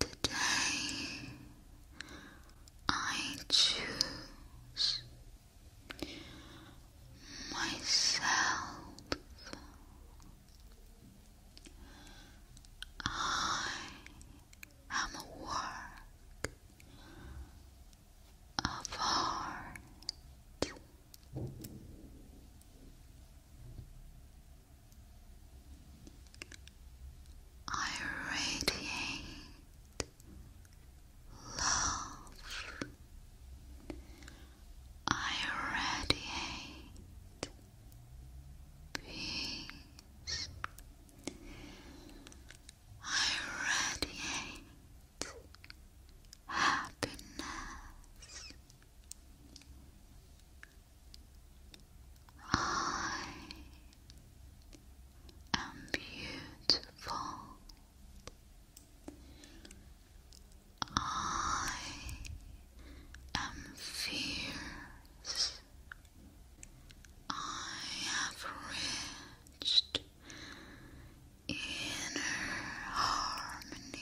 Today I choose myself. I am work of art. I radiate love. I radiate peace. I radiate happiness. I am beautiful. I am fierce. I have reached inner harmony.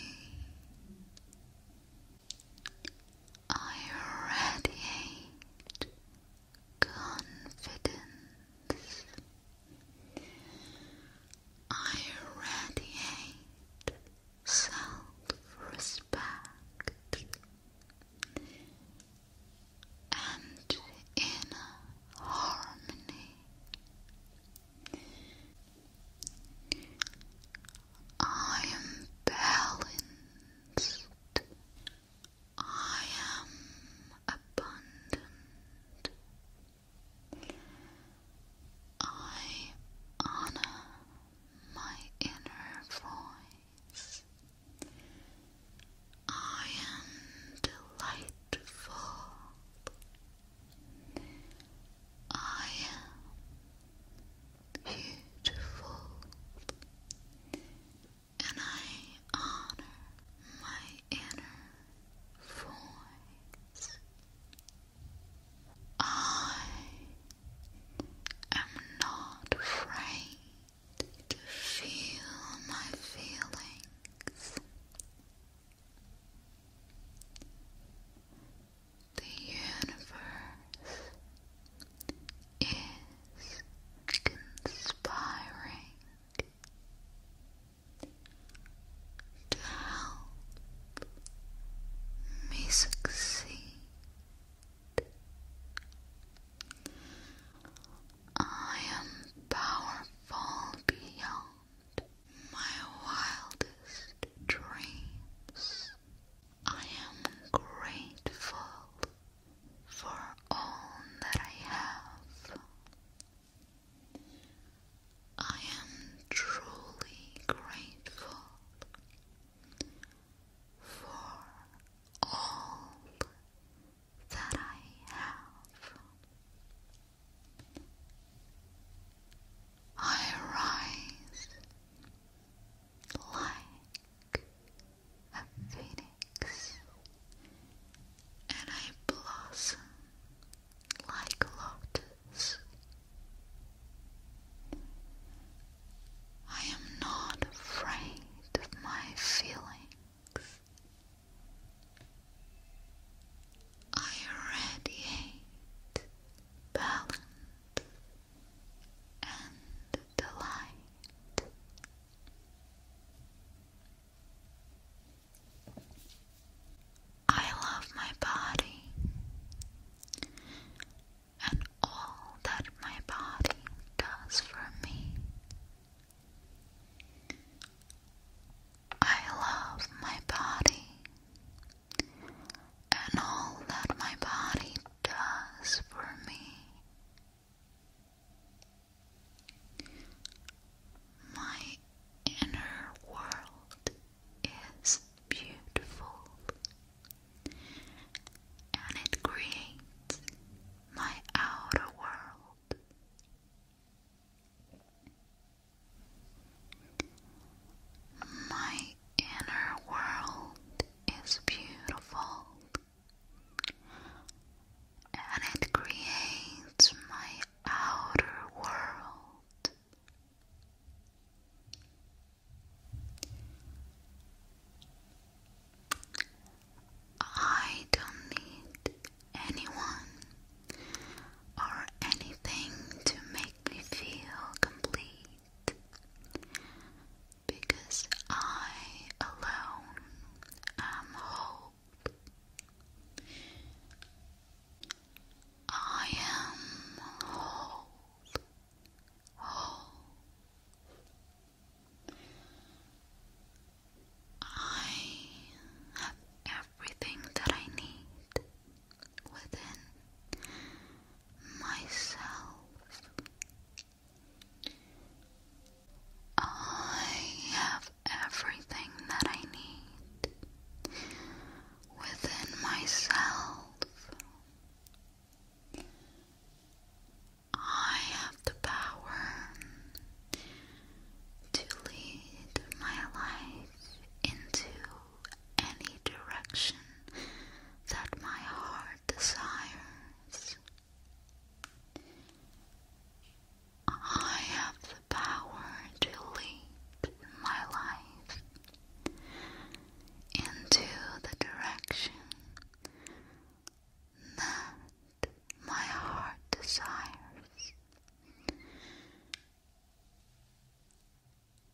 I radiate confidence. I radiate self-respect and inner harmony. I am balanced. I am abundant. I honor my inner voice. I am delightful. I am beautiful, and I honor my inner voice. I am not afraid to feel my feelings. The universe is conspiring to help me succeed. I am powerful beyond my wildest dreams. I am grateful for all that I have. I am truly grateful for all that I have. I rise like a phoenix, and I blossom like lotus. I am not afraid of my feelings. I radiate balance and the light. I love my body and all that my body does for me. I love my body and all that my body does for me. My inner world is beautiful and it creates my outer world. My inner world it's beautiful and it creates my outer world. I don't need anyone or anything to make me feel complete because I alone am whole. I am whole, whole. I have everything that I need within myself. I have everything that I need within myself. I have the power to lead my life into any direction that my heart desires. I have the power to lead my life into the direction that my heart desires.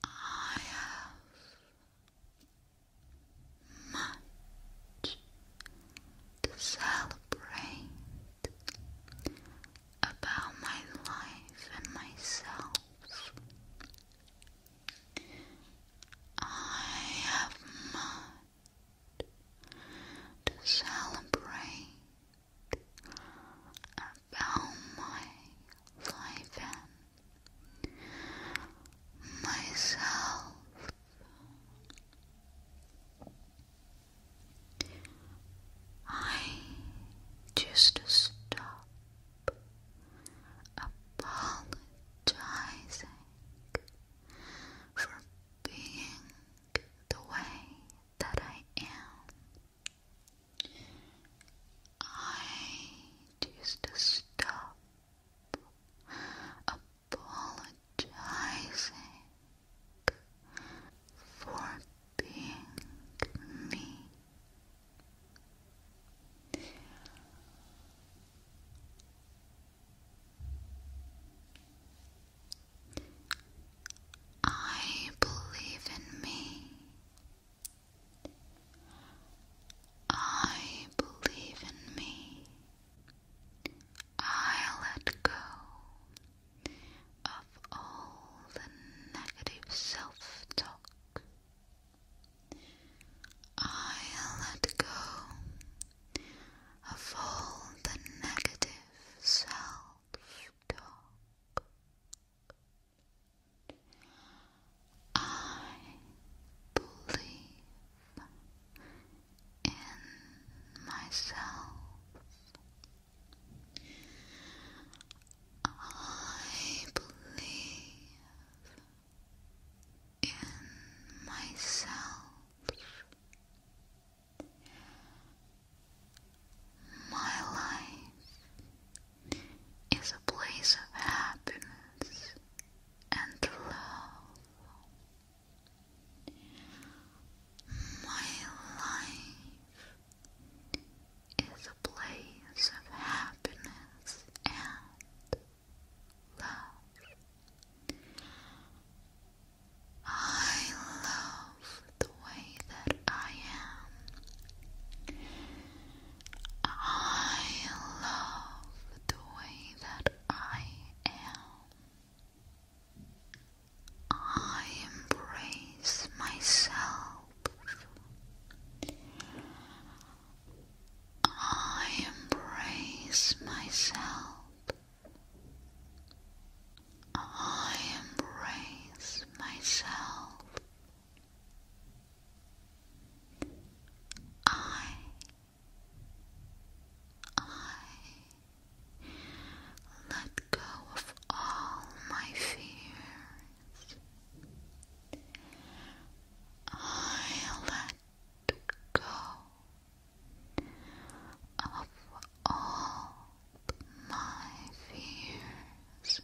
I have much to celebrate about my life and myself. I have much to celebrate about my life and myself. I just stop apologizing for being the way that I am. I it stop apologizing for being me. I believe in me. I believe in me. I let go of all the negative self talk. I let go of all the negative self talk. I believe in myself. I believe in myself. My life is a place of happiness and love. My life is a place of happiness and love. I love the way that I am. I love the way that I am. I embrace myself. I embrace myself. I embrace myself. I I let go of all my fears. I let go of all my fears.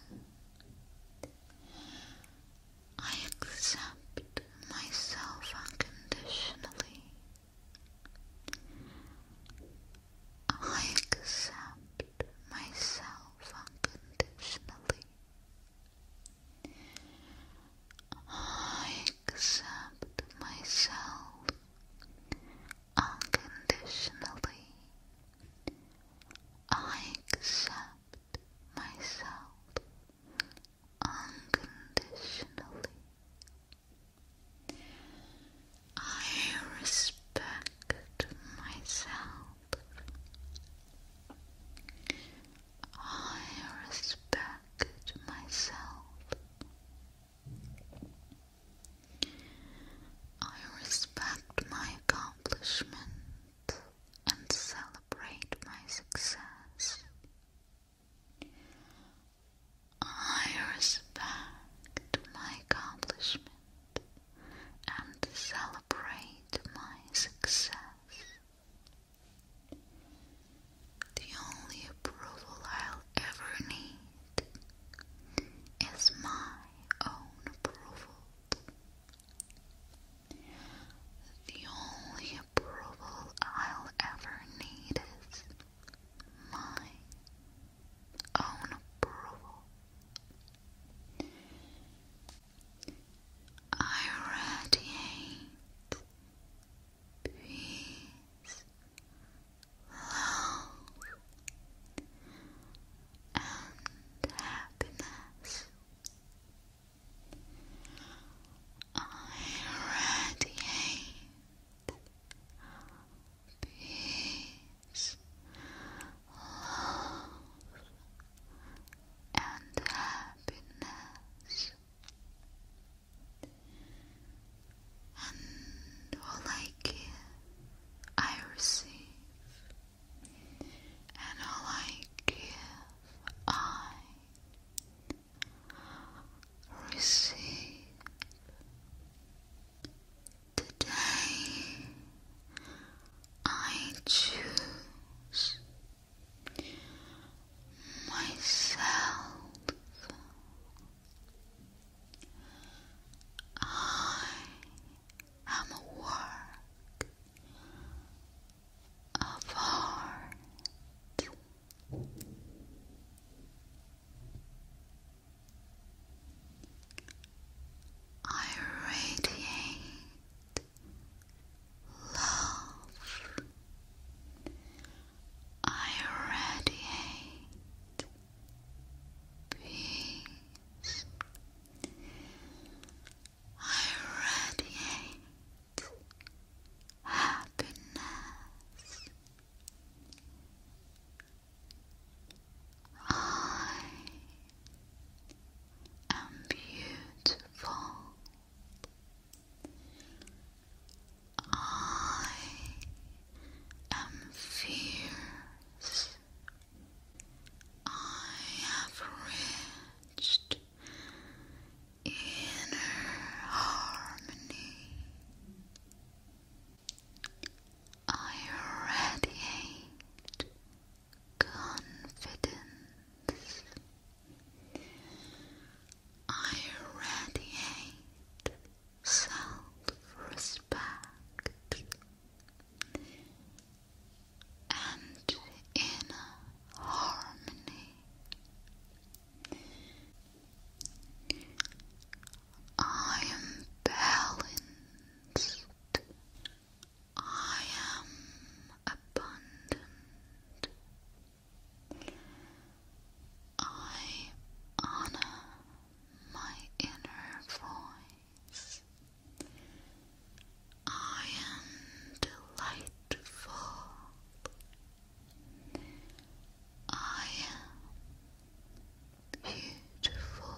I accept myself unconditionally. I accept myself unconditionally. I accept myself unconditionally. I accept myself unconditionally. I respect myself. I respect myself. I respect my accomplishment and self celebrate my success. I respect my accomplishment and celebrate my success. The only approval I'll ever need is my own approval. The only approval I'll ever need is my own approval. I radiate peace, love, and happiness. I radiate peace, love, and happiness. And all I give, I receive and all I I receive. Today, I choose myself. I am a work of heart. I radiate love. I radiate peace. I radiate happiness. I am beautiful. I am fierce. I have reached inner harmony. I radiate confidence. I radiate self respect and in harmony. I am balanced. I am abundant. I honor my inner voice. I am delightful. I am beautiful.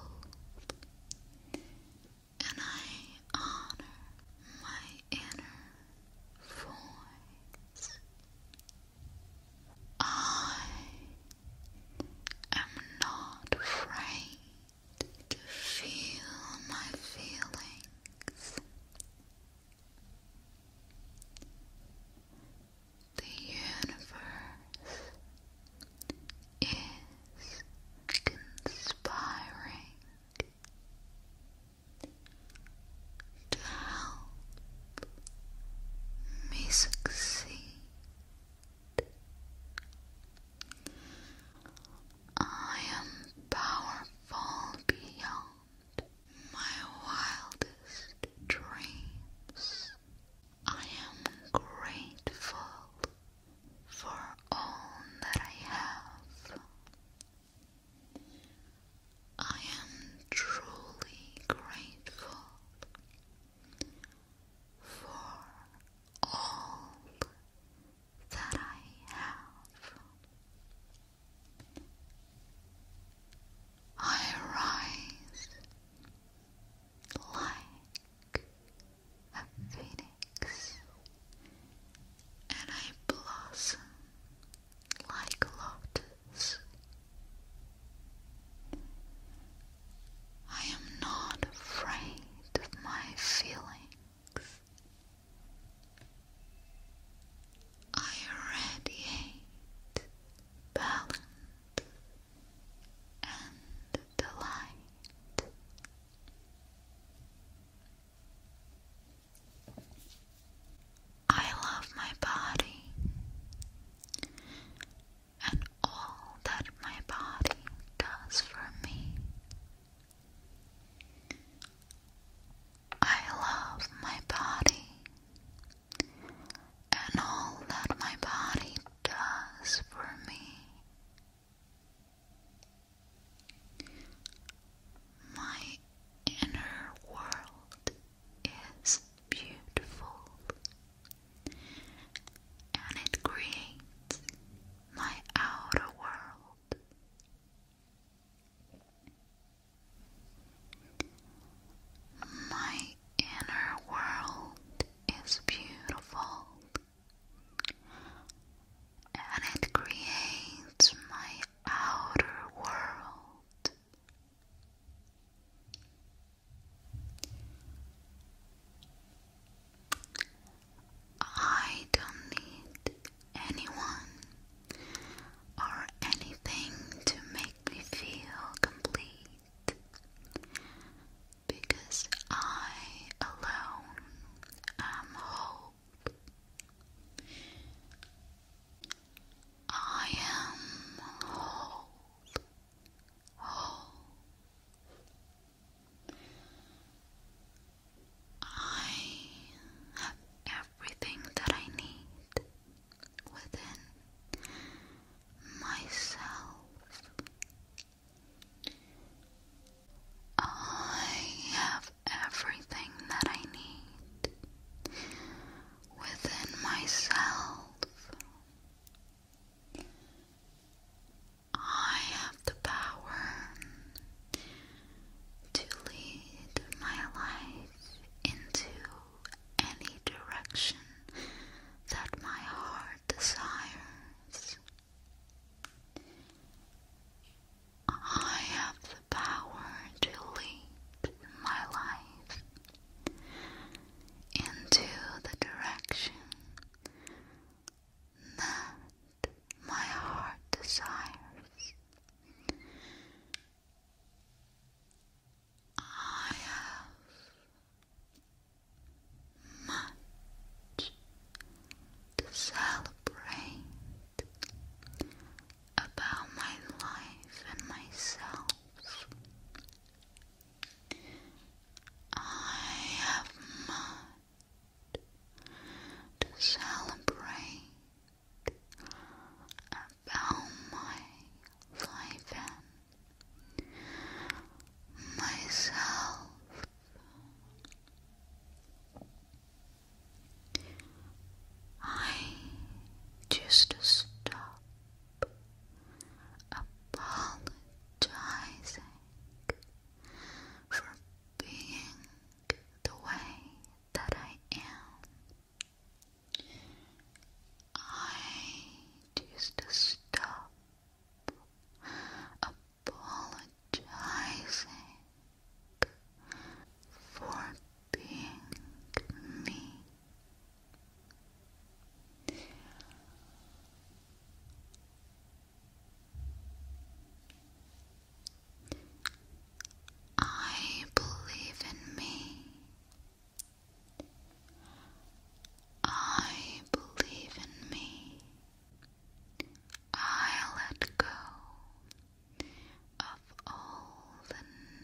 And I honor my inner voice. I am not afraid to feel my feelings, the universe is conspiring to help me succeed. I am powerful beyond my wildest dreams. I am grateful for all that I have. I am truly grateful for all that I have. I rise like a phoenix and I blossom like lotus. I am not afraid of my feelings. I radiate balance and delight. I love my body and all that my body does for me. I love my body and all that my body does for me. My inner world is beautiful and it creates my outer world. My inner world is beautiful and it creates my outer world. I don't need anyone or anything to make me feel complete because I alone am whole. I am whole, whole, I have everything that I need within myself. I have everything that I need within myself. I have the power to lead my life into any direction that my heart desires. I have the power to lead my life into the direction that my heart desires. I have much to celebrate about my life and myself. I have much to celebrate about my life and myself. I just stop apologizing for being the way that I am. I choose to stop apologizing for being me. I believe in me. I believe in me. I let go of all the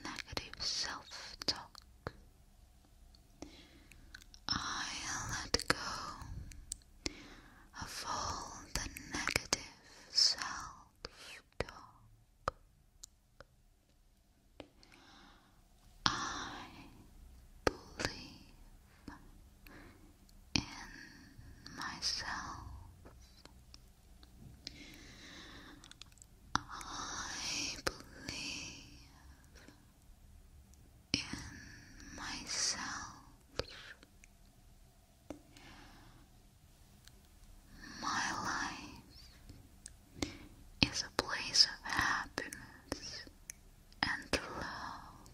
negative self talk. I let go of all the negative self-talk. I believe in myself. I believe in myself. My life is a place of happiness and love.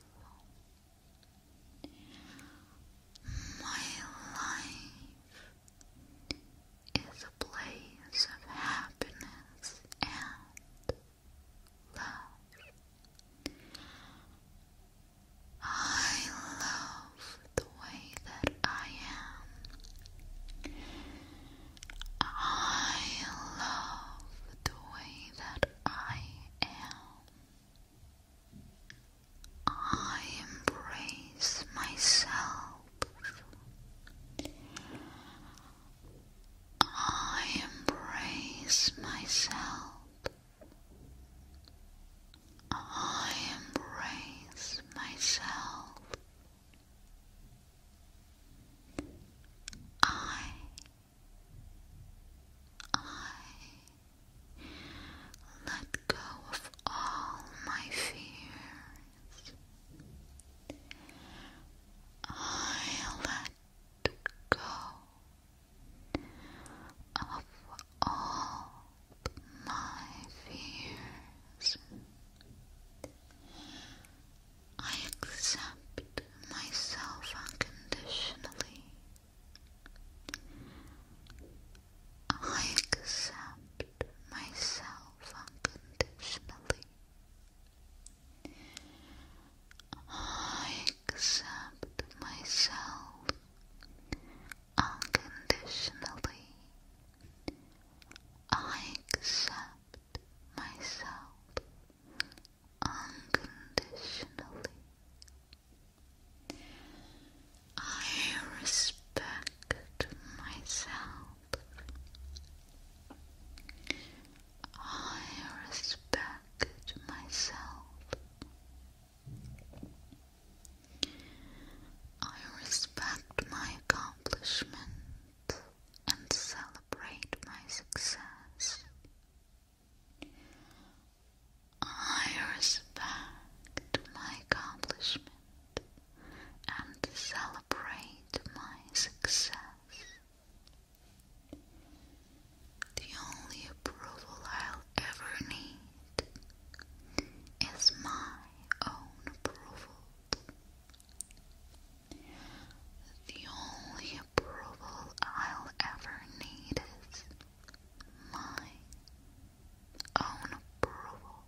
My life is a place of happiness and love. I love the way that I am. I love the way that I am. I embrace myself. I embrace myself. I embrace myself. I I let go of all my fears. I let go of all my fears. I accept myself unconditionally. I accept myself unconditionally. I accept myself unconditionally. I accept myself unconditionally. I respect myself. I respect I respect my accomplishment and celebrate my success. I respect my accomplishment and celebrate my success. The only approval I'll ever need is my own approval. The only approval I'll ever need is my own approval.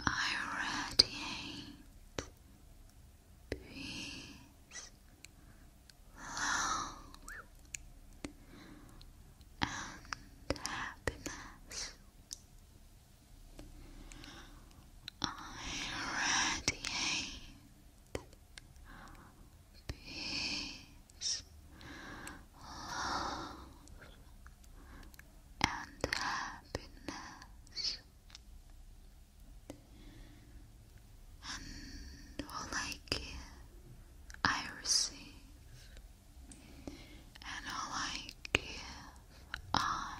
I radiate peace, love, and happiness. I radiate peace, love, and happiness and all I give, I receive, and all I give, I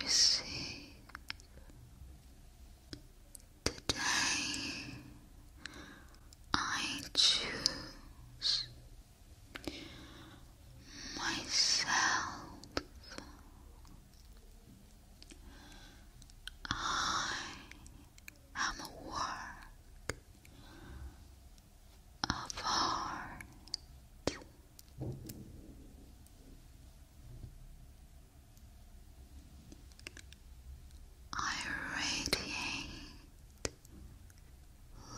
receive. Today I choose myself. I am a work of art. I radiate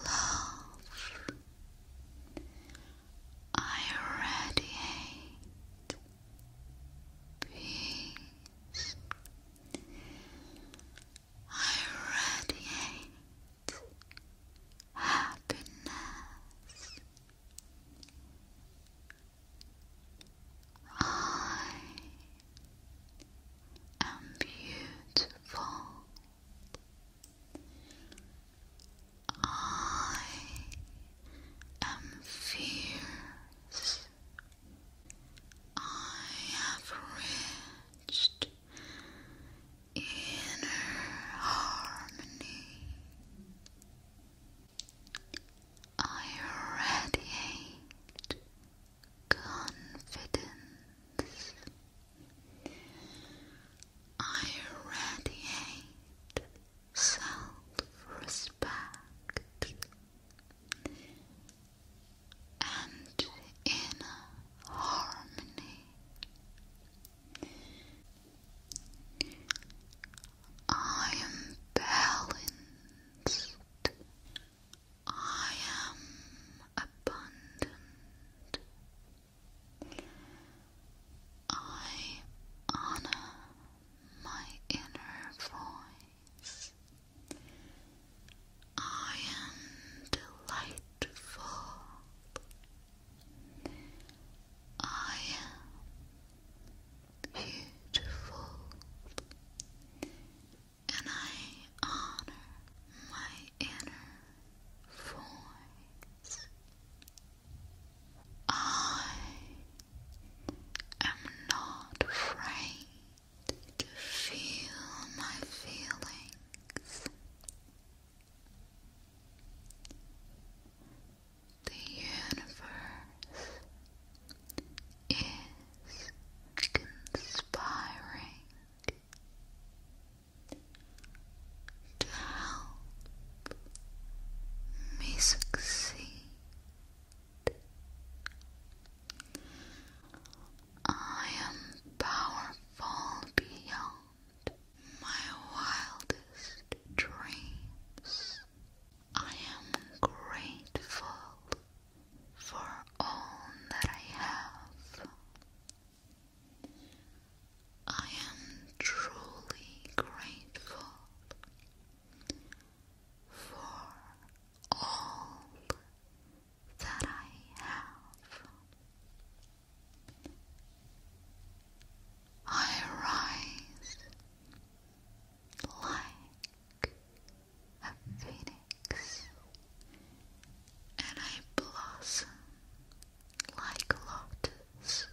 love I radiate peace. I radiate happiness. I am beautiful. I am fierce. I have reached inner harmony. I radiate confidence. I radiate self-respect and inner harmony. I am balanced. I am abundant. I honor my inner voice. I am delightful. I am beautiful. And I honor my inner voice. I am not afraid to feel my feelings. The universe is conspiring to help me succeed. I am powerful beyond my wildest dreams. I am grateful for all that I have. I am truly grateful for all that I have. I rise like a phoenix and I blossom like lotus.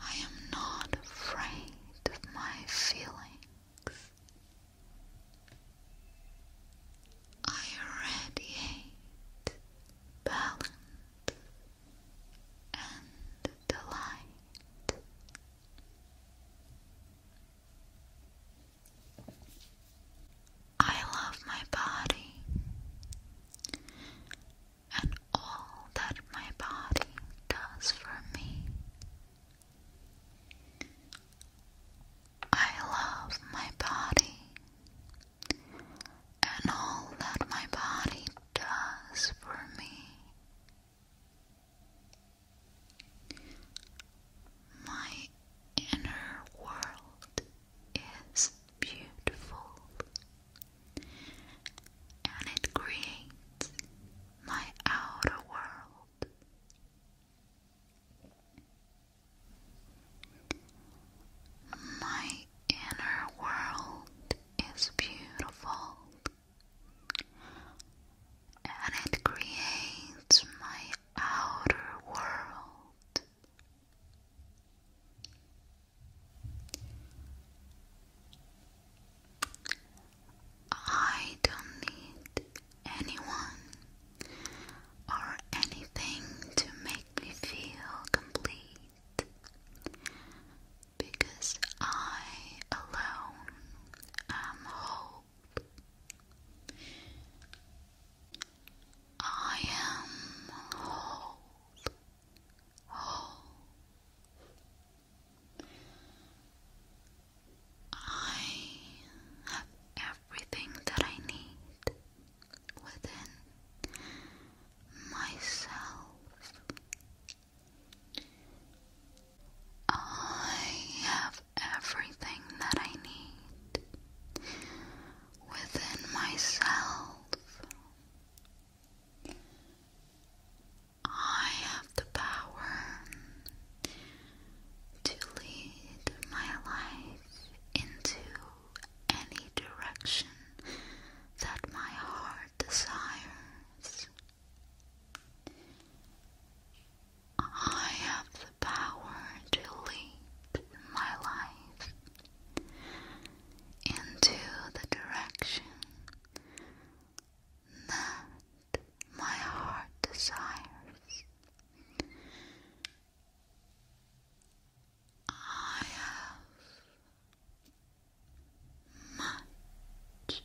I am not afraid of my feelings. I radiate balance and delight. I love my body and all that my body does for me. I love my body and all that my body does for me. My inner world is beautiful and it creates my outer world. My inner world is beautiful and it creates my outer world. I don't need anyone or anything to make me feel complete because I alone am whole. I am whole, I have everything that I need within myself. I have everything that I need within myself. I have the power to lead my life into any direction that my heart desires. I have the power to lead my life into the direction that my heart desires. I have much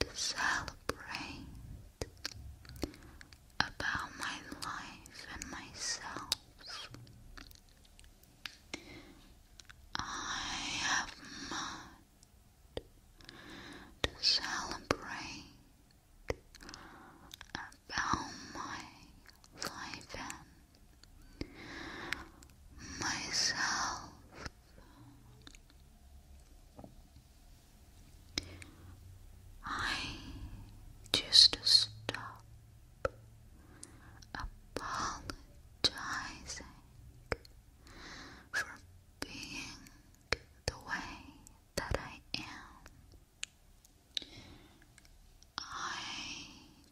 to celebrate about my life and myself. I have much to celebrate about my life and myself. I just stop apologizing for being the way that I am. I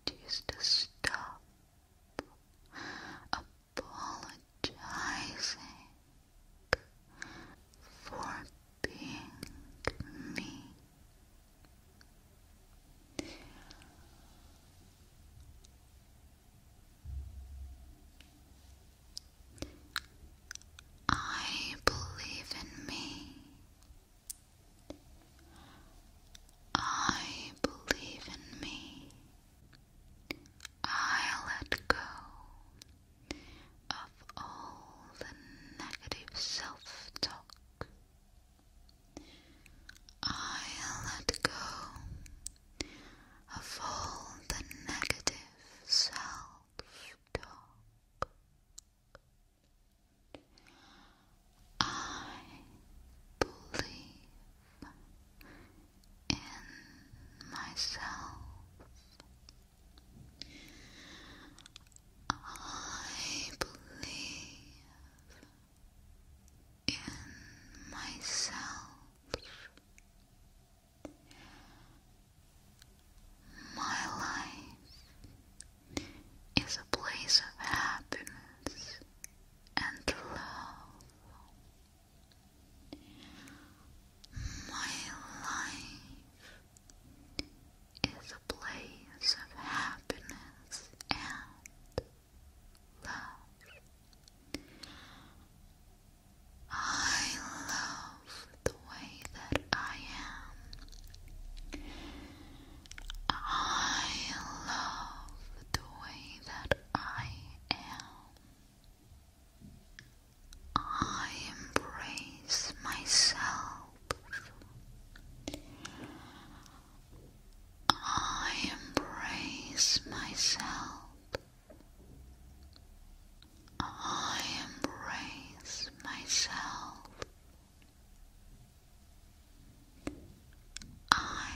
just stop apologizing for being me. I believe in me. I believe in me. I let go of all the negative self talk. I let go of all the negative self talk. I believe in myself. I believe in myself. My life is a place of happiness and love. My life is a place of happiness and love. I love the way that I am. I love the way that I am. I embrace myself. I embrace myself. I embrace myself. I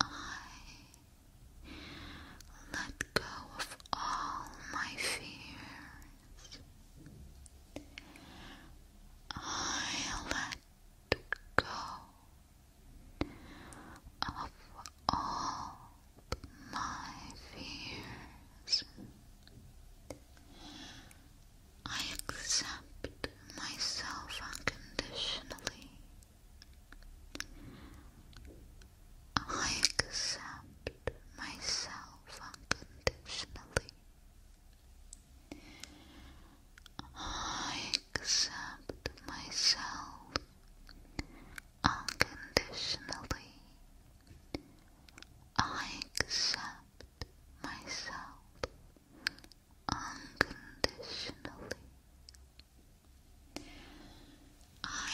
I let go of all my fears. I let go of all my fears. I accept myself unconditionally. I accept myself unconditionally. I accept myself unconditionally. I accept myself unconditionally. I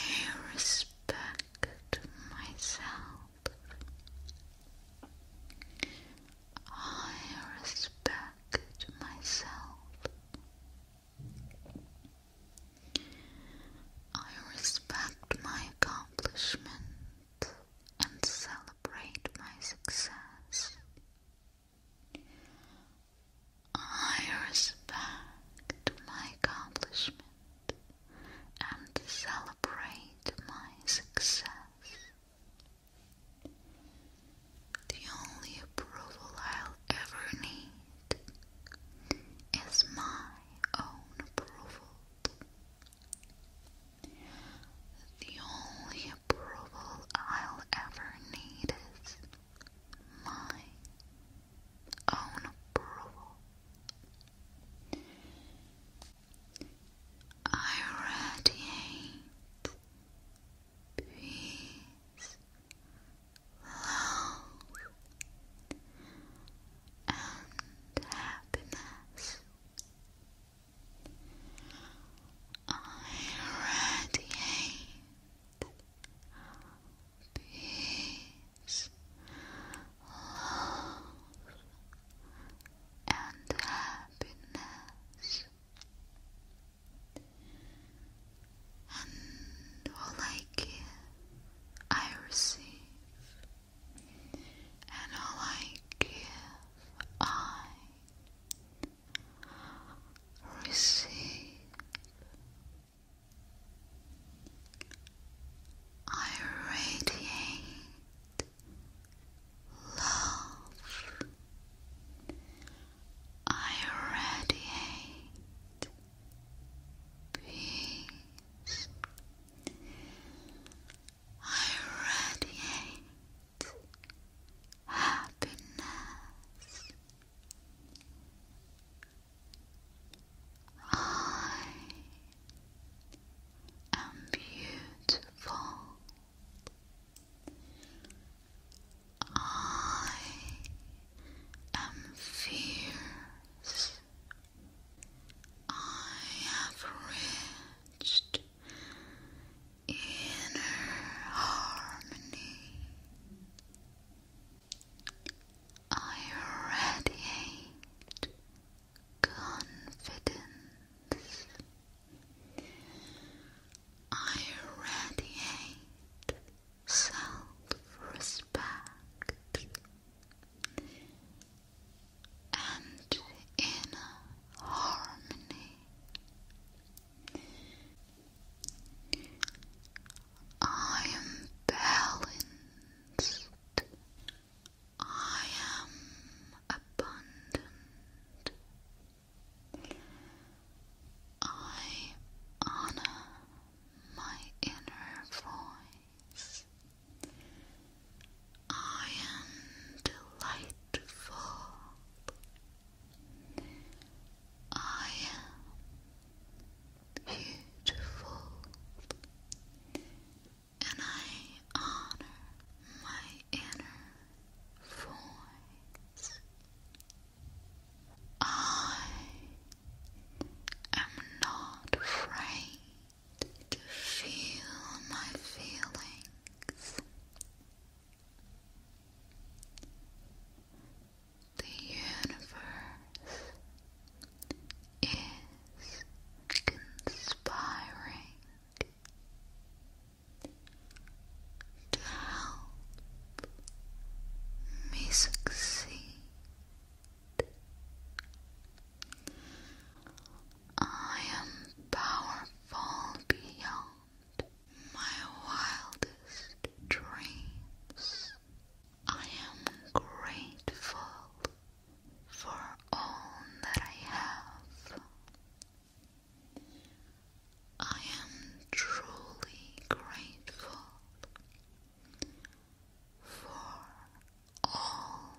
respect myself. I respect myself. I respect my accomplishment and celebrate my success. I respect my accomplishment and celebrate my success. The only approval I'll ever need is my own approval. The only approval I'll ever need is my own approval. I radiate peace, love, and happiness. I radiate peace, love, and happiness. And all I give, I receive. And all I give, I receive. I radiate love. I radiate peace. I radiate happiness. I am beautiful. I am fierce. I have reached inner harmony. I radiate confidence. I radiate self-respect and inner harmony. I am balanced. I am abundant. I honor my inner voice. I am delightful. I am beautiful, and I honor my inner voice. I am not afraid to feel my feelings. The universe is inspiring to help me succeed. I am powerful beyond my wildest dreams. I am grateful for all that I have. I am truly grateful for all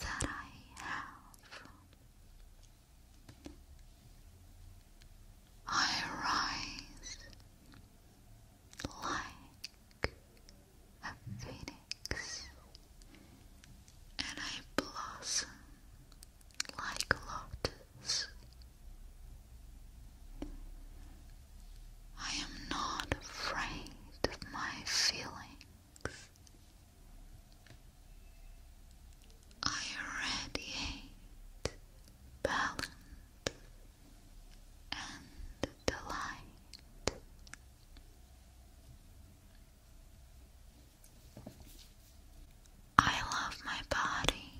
that I have. I rise like a phoenix, and I blossom like lotus. I am not afraid of my feelings. I radiate balance and the light. I love my body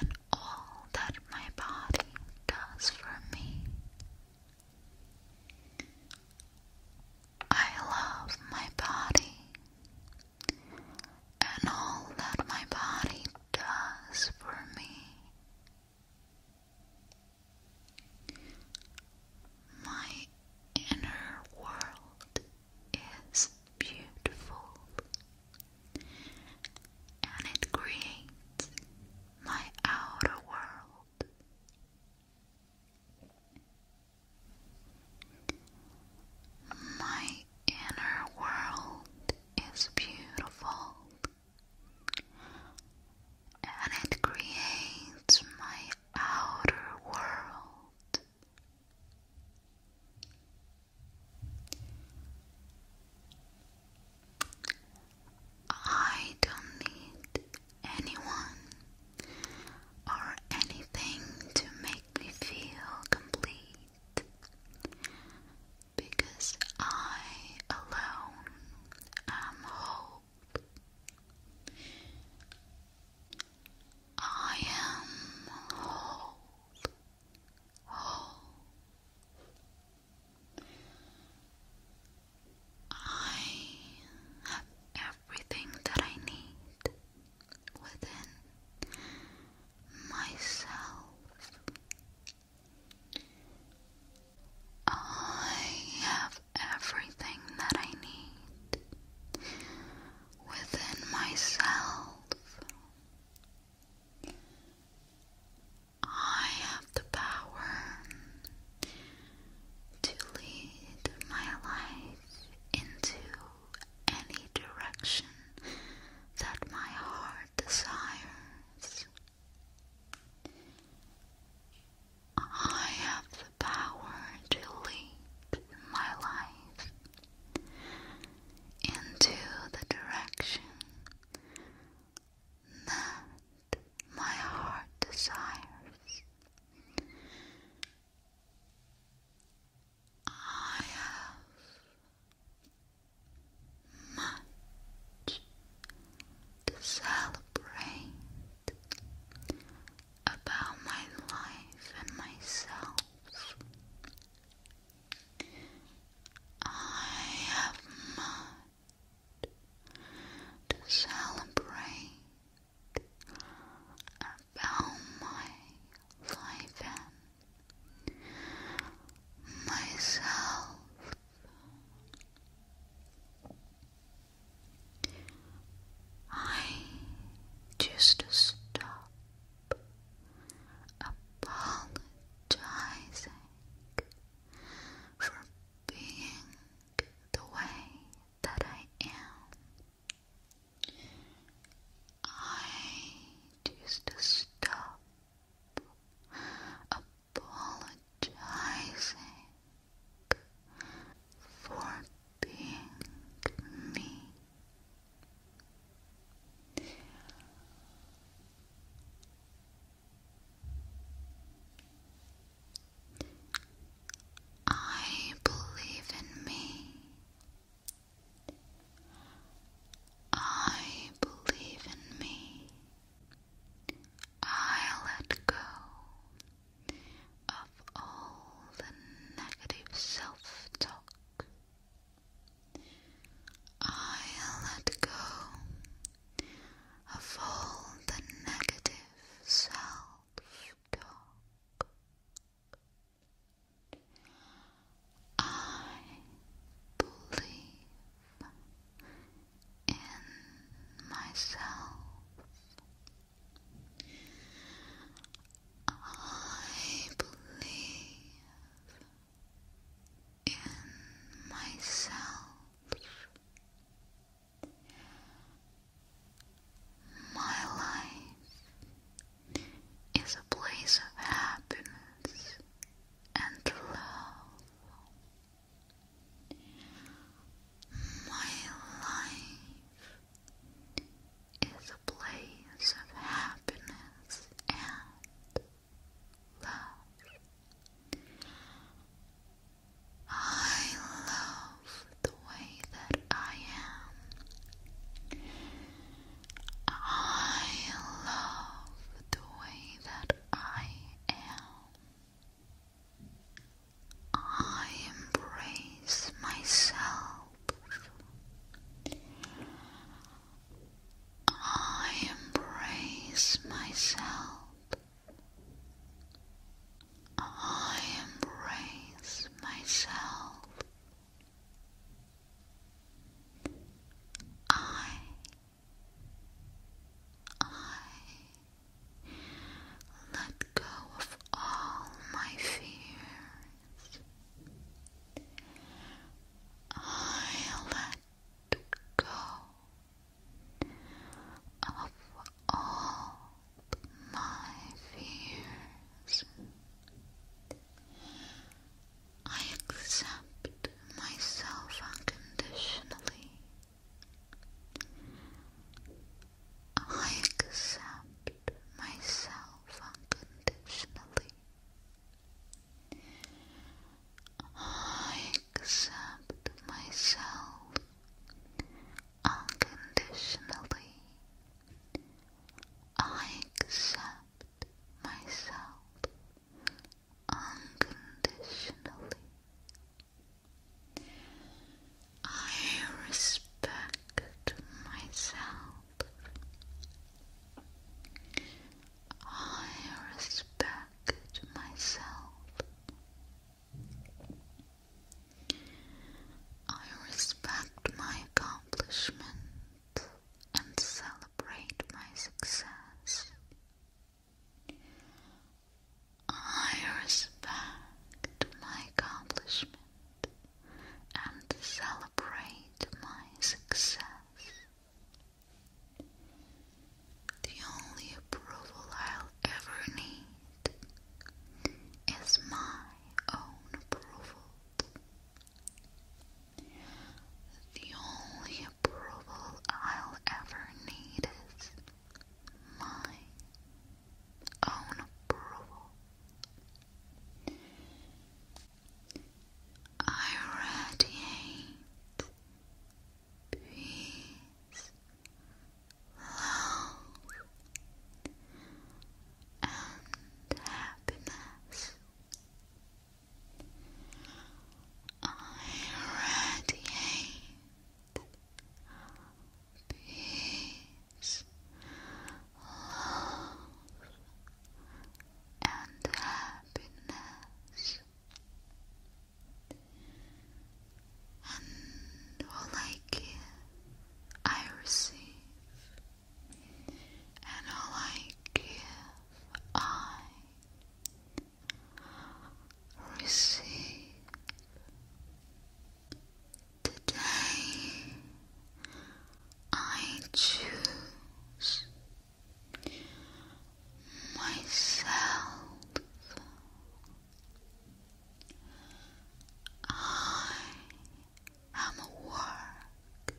and all that my body does for me. I love my body and all that my body does for me. My inner world is beautiful and it creates my outer world. My the inner world is beautiful and it creates my outer world. I don't need anyone or anything to make me feel complete because I alone am hope. I am whole, whole. I have everything that I need within myself. I have everything that I need within myself. I have the power to lead my life into any direction that my heart desires. I have the power to lead my life into the direction that my heart desires. I have much to celebrate about my life and myself. I have much to celebrate about my life and myself. I just stop apologizing for being the way that I am. I just stop apologizing for being me. I believe in me. I believe in me. I let go of all the negative self talk. I let go of all the negative self talk. I believe in myself. I believe in myself. My life is a place of happiness and love. My life is a place of happiness and love. I love the way that I am. I love the way that I am. I embrace myself. I embrace myself. I embrace myself. I I let go of all my fears. I let go of all my fears. I accept myself unconditionally. I accept myself unconditionally. I accept myself unconditionally. I accept myself unconditionally. I respect myself. I respect myself. I respect my accomplishments and celebrate my success. I respect my accomplishment and celebrate my success. The only approval i ever need is my own approval. The only approval I'll ever need is my own approval. I radiate peace, love, and happiness. I radiate peace, love, and happiness. And all I give, I receive and all I give, I receive today. I choose myself. I I'm a work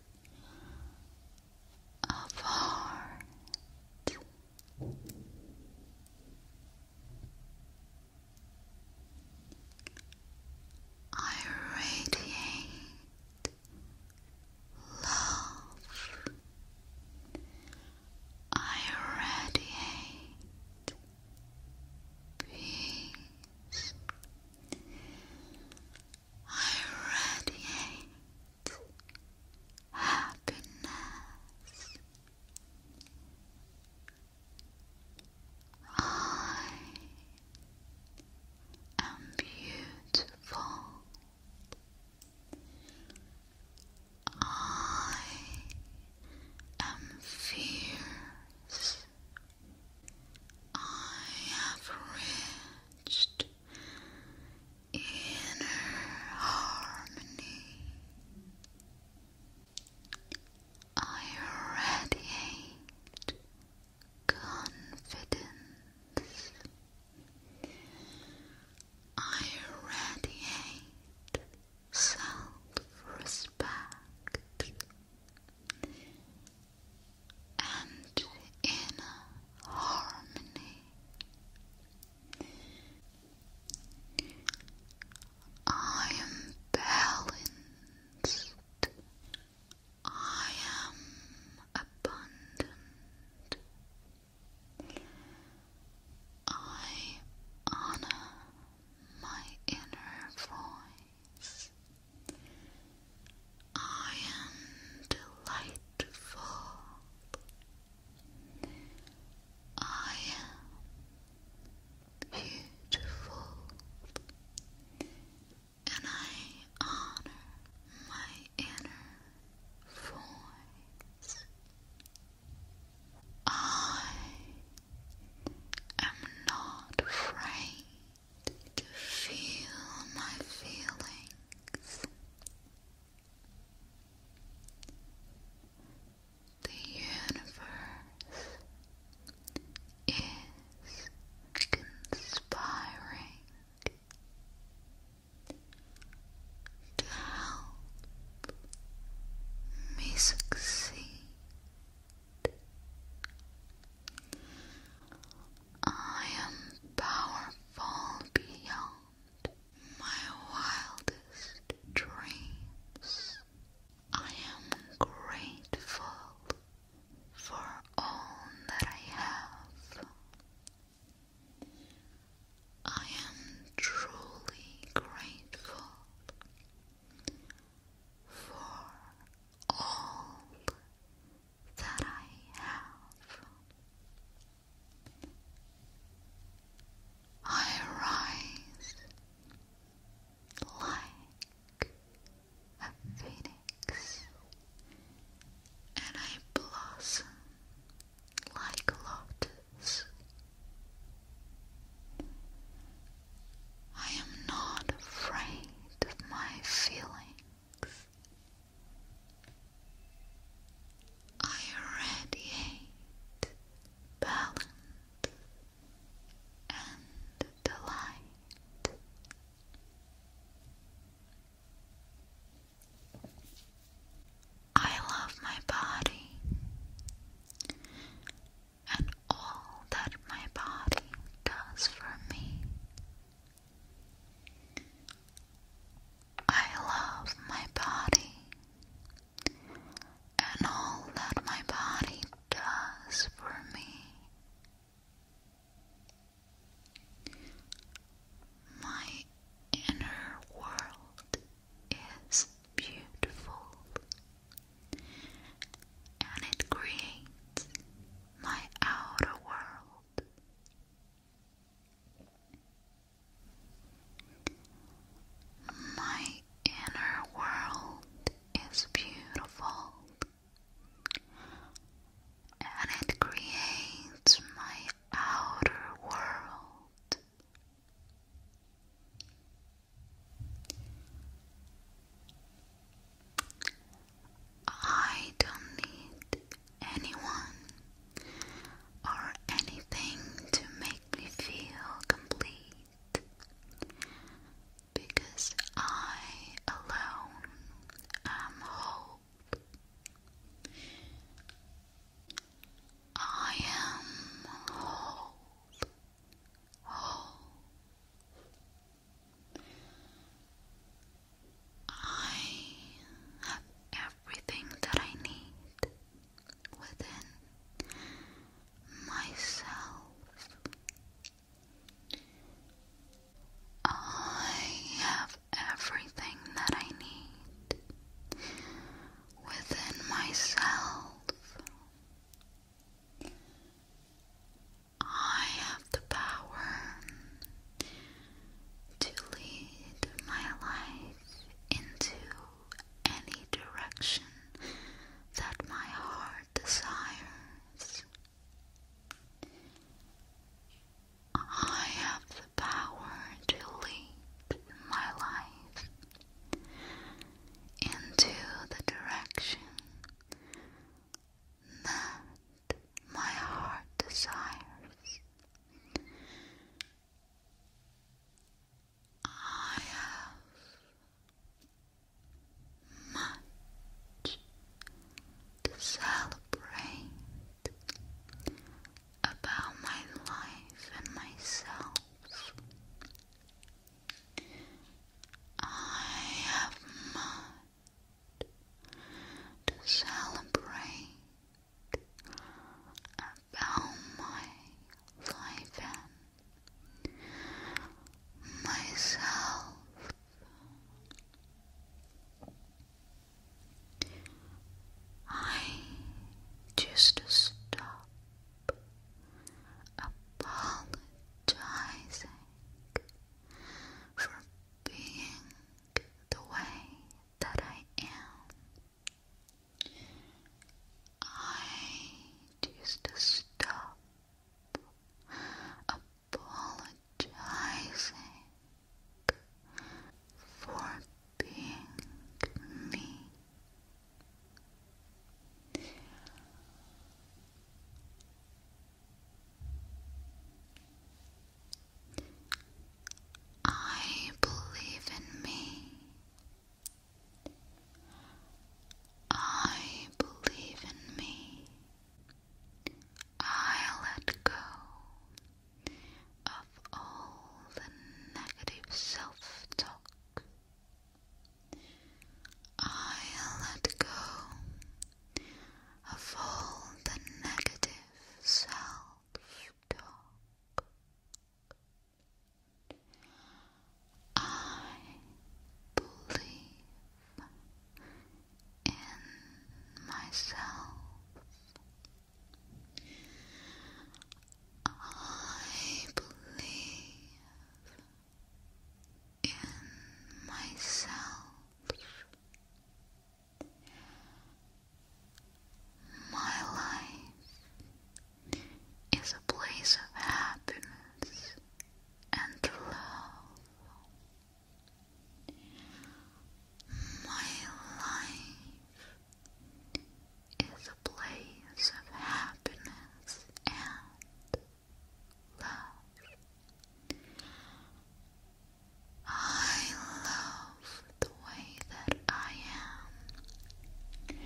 of art. I radiate love. I radiate peace. I radiate happiness. I am beautiful. I am fierce. I have reached inner harmony. I radiate confidence. I radiate self respect and in harmony. I am balanced. I am abundant. I honor my inner voice. I am delightful. I am beautiful. And I honor my inner voice. I am not afraid to feel my feelings, the universe is conspiring to help me succeed. I am powerful beyond my wildest dreams. I am grateful for all that I have. I am truly grateful for all that I have. I rise like a phoenix and I blossom like lotus. I am not afraid of my feelings. I radiate balance and delight. I love my body and all that my body does for me. I love my body and all that my body does for me. My inner world is beautiful and it creates my outer world. My inner world is beautiful and it creates my outer world. I don't need anyone or anything to make me feel complete because I alone am whole. I am whole, whole, I have everything that I need within myself. I have everything that I need within myself. I have the power to lead my life into any direction that my heart desires. I have the power to lead my life into the direction met my heart desires. I have much to celebrate about my life and myself. I have much to celebrate about my life and myself. I just stop apologizing for being the way that I am. I choose to stop apologizing for being me. I believe in me. I believe in me. I let go of all the negative self talk. I let go of all the negative self-talk. I believe in myself. I believe in myself. My life is a place of happiness and love. My life is a place of happiness and love. I love the way that I am.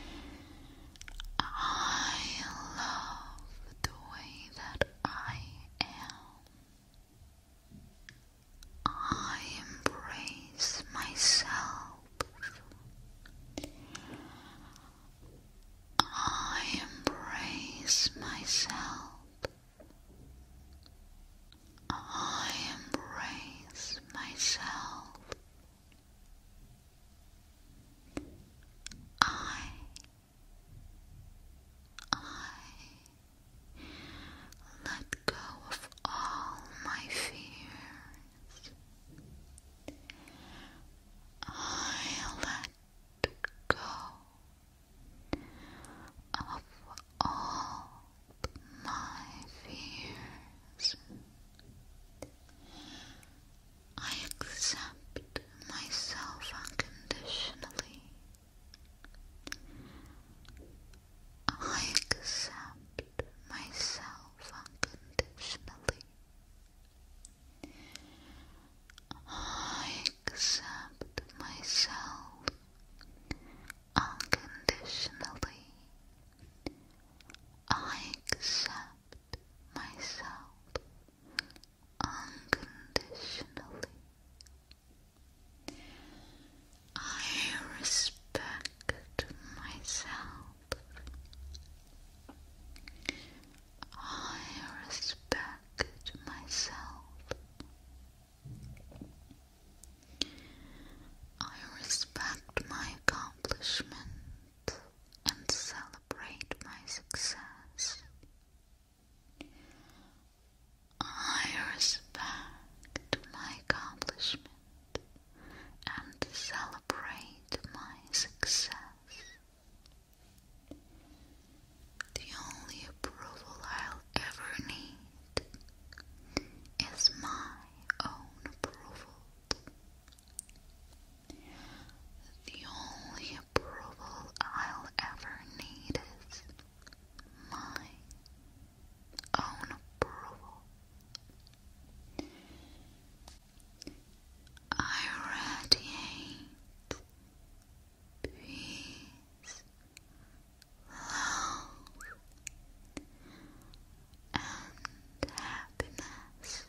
I love the way that I am. I embrace myself. I embrace myself. I embrace myself. I I let go of all my fears. I let of all my fears. I accept myself unconditionally. I accept myself unconditionally. I accept myself unconditionally. I accept myself unconditionally. I respect myself. I respect myself I respect my accomplishment and celebrate my success. I respect my accomplishment and celebrate my success. The only approval I'll ever need is my own approval. The only approval I'll ever need is my own approval. I radiate peace, love, and happiness.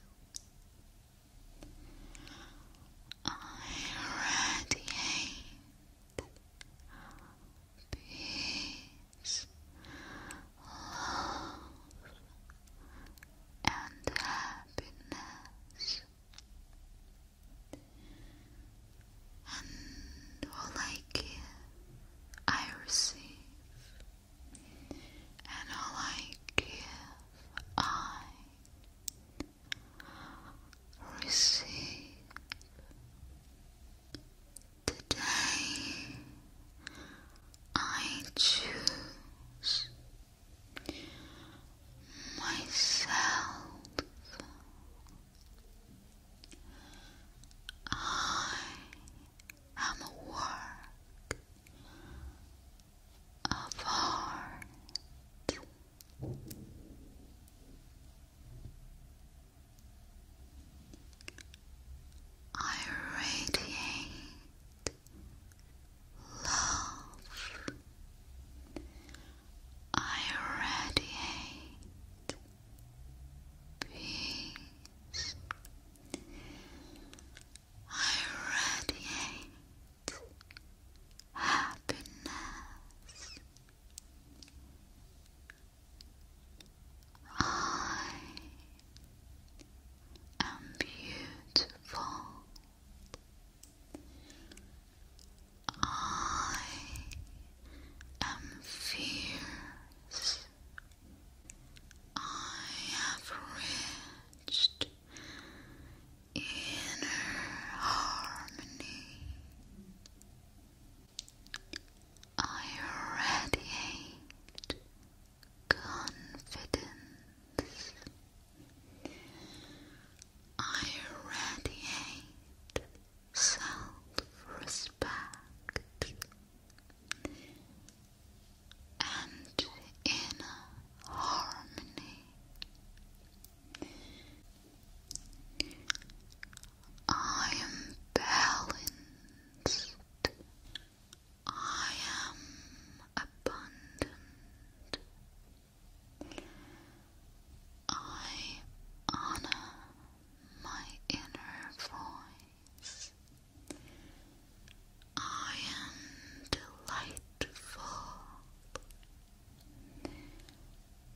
I radiate peace, love, and happiness and all I give I receive, and all I give I receive. Today I choose myself. I am a work of art. I radiate love I radiate peace. I radiate happiness. I am beautiful. I am fierce. I have reached inner harmony. I radiate confidence. I radiate self-respect and inner harmony. I am balanced. I am abundant. I honor my inner voice. I am delightful.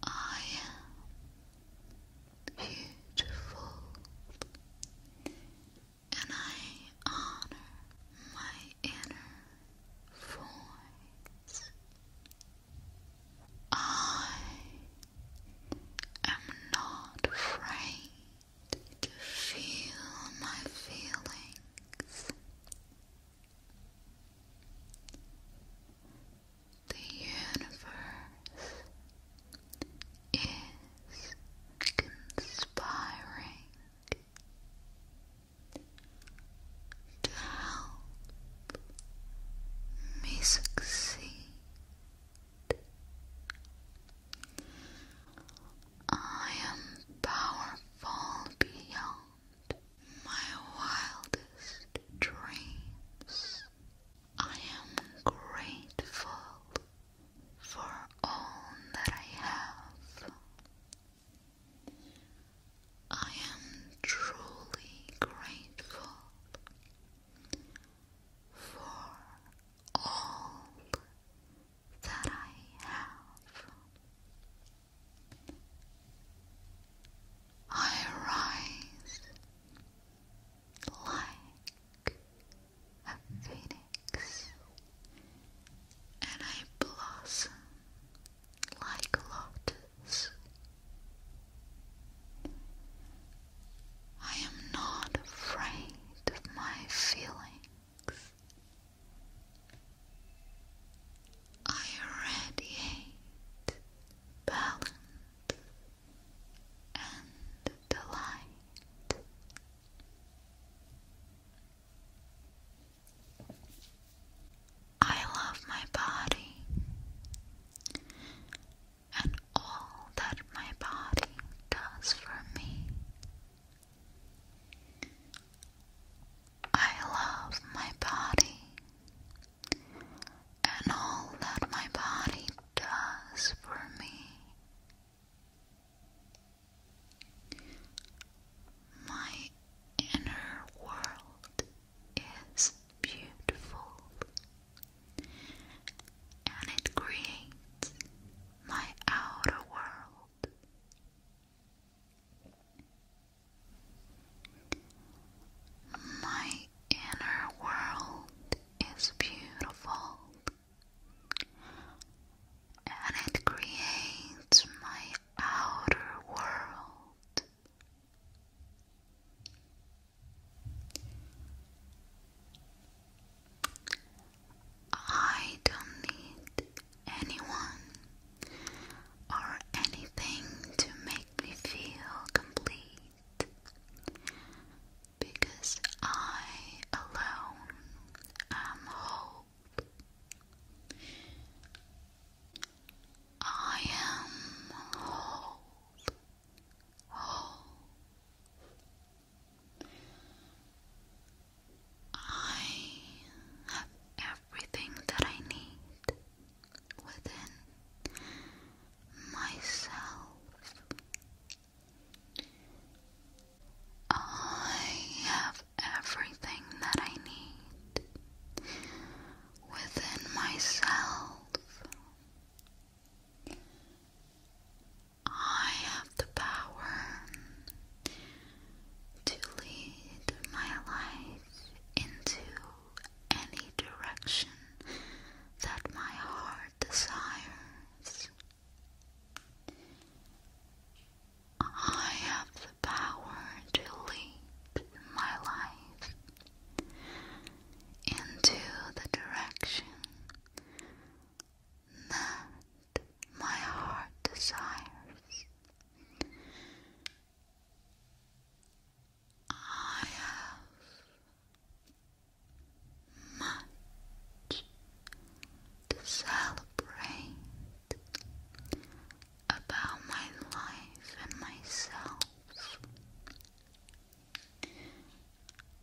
I am beautiful. And I honor my inner voice. I am not afraid to feel my feelings. The universe is conspiring to help me succeed. I am powerful beyond my wildest dreams. I am grateful for all that I have. I am truly grateful for all that I have. I rise like a phoenix and I blossom like lotus. I am not afraid of my feelings. I radiate balance and delight. I love my body and all that my body does for me. I love my body and all that my body does for me. My inner world is beautiful and it creates my outer world. My inner world is beautiful and it creates my outer world. I don't need anyone or anything to make me feel complete because I alone am whole. I am whole, whole. I have everything that I need within myself. I have everything that I need within myself. I have the power to lead my life into any direction that my heart desires. I have the power to lead my life into the direction that my heart desires. I have much to celebrate about my life and myself.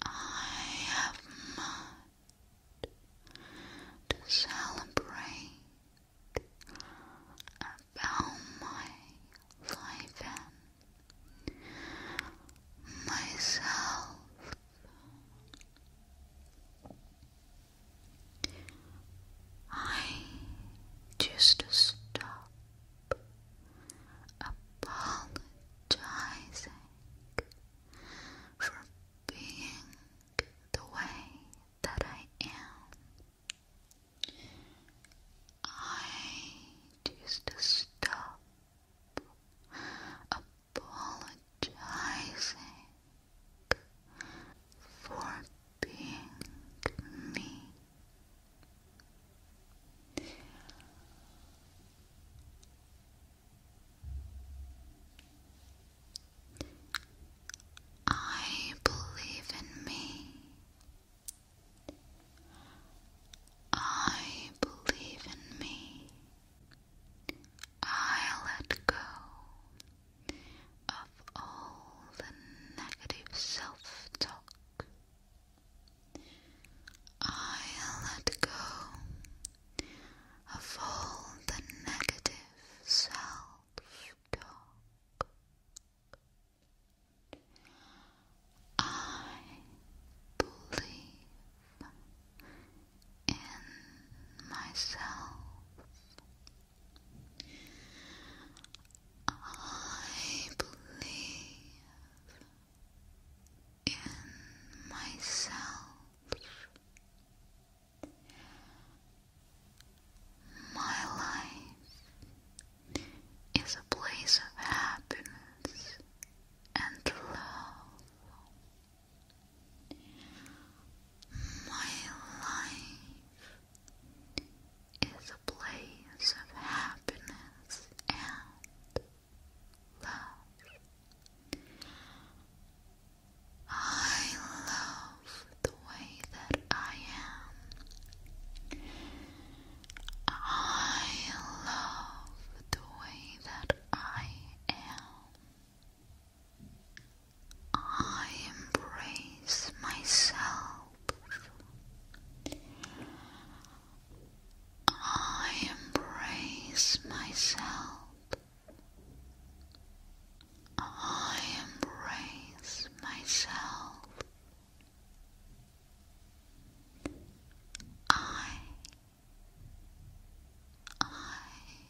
I have much to celebrate about my life and myself. I just stop apologizing for being the way that I am. I just stop apologizing for being me. I believe in me. I believe in me. I let go of all the negative self talk. I let go of all the negative self talk. I believe in myself. I believe in myself. My life is a place of happiness and love. My life is a place of happiness and love. I love the way that I am. I love the way that I am. I embrace myself. I embrace myself. I embrace myself. I I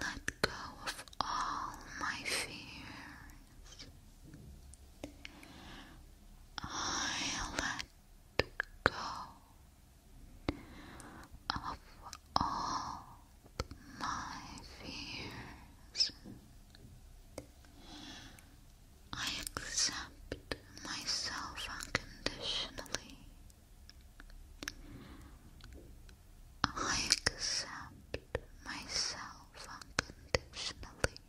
let go of all my fears. I let go of all my fears. I accept myself unconditionally. I accept myself unconditionally.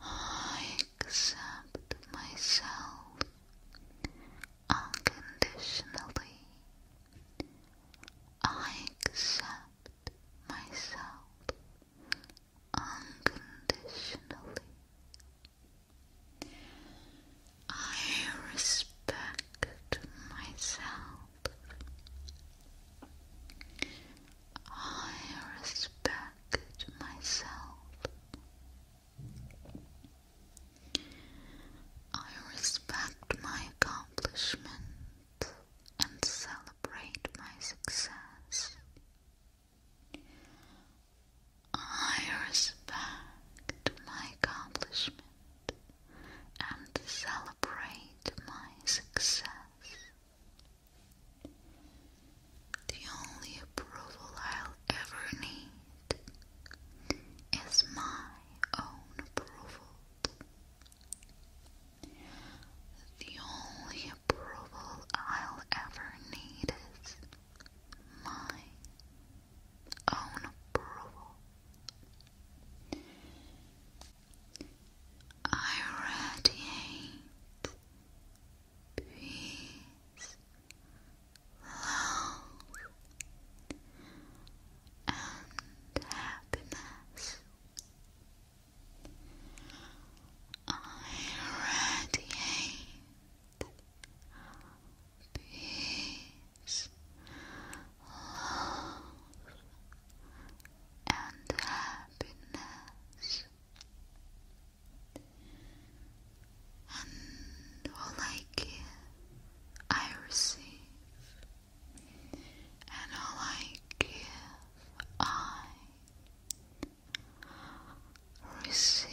I accept myself unconditionally. I accept myself unconditionally. I respect myself. I respect myself. I respect my accomplishment and celebrate my success. I respect my accomplishment and celebrate my success. The only approval I'll ever need is my own approval. The only approval I'll ever need is my own approval. I radiate peace, love, and happiness. I radiate peace, love, and happiness. And all I give, I receive. And all I give, I receive.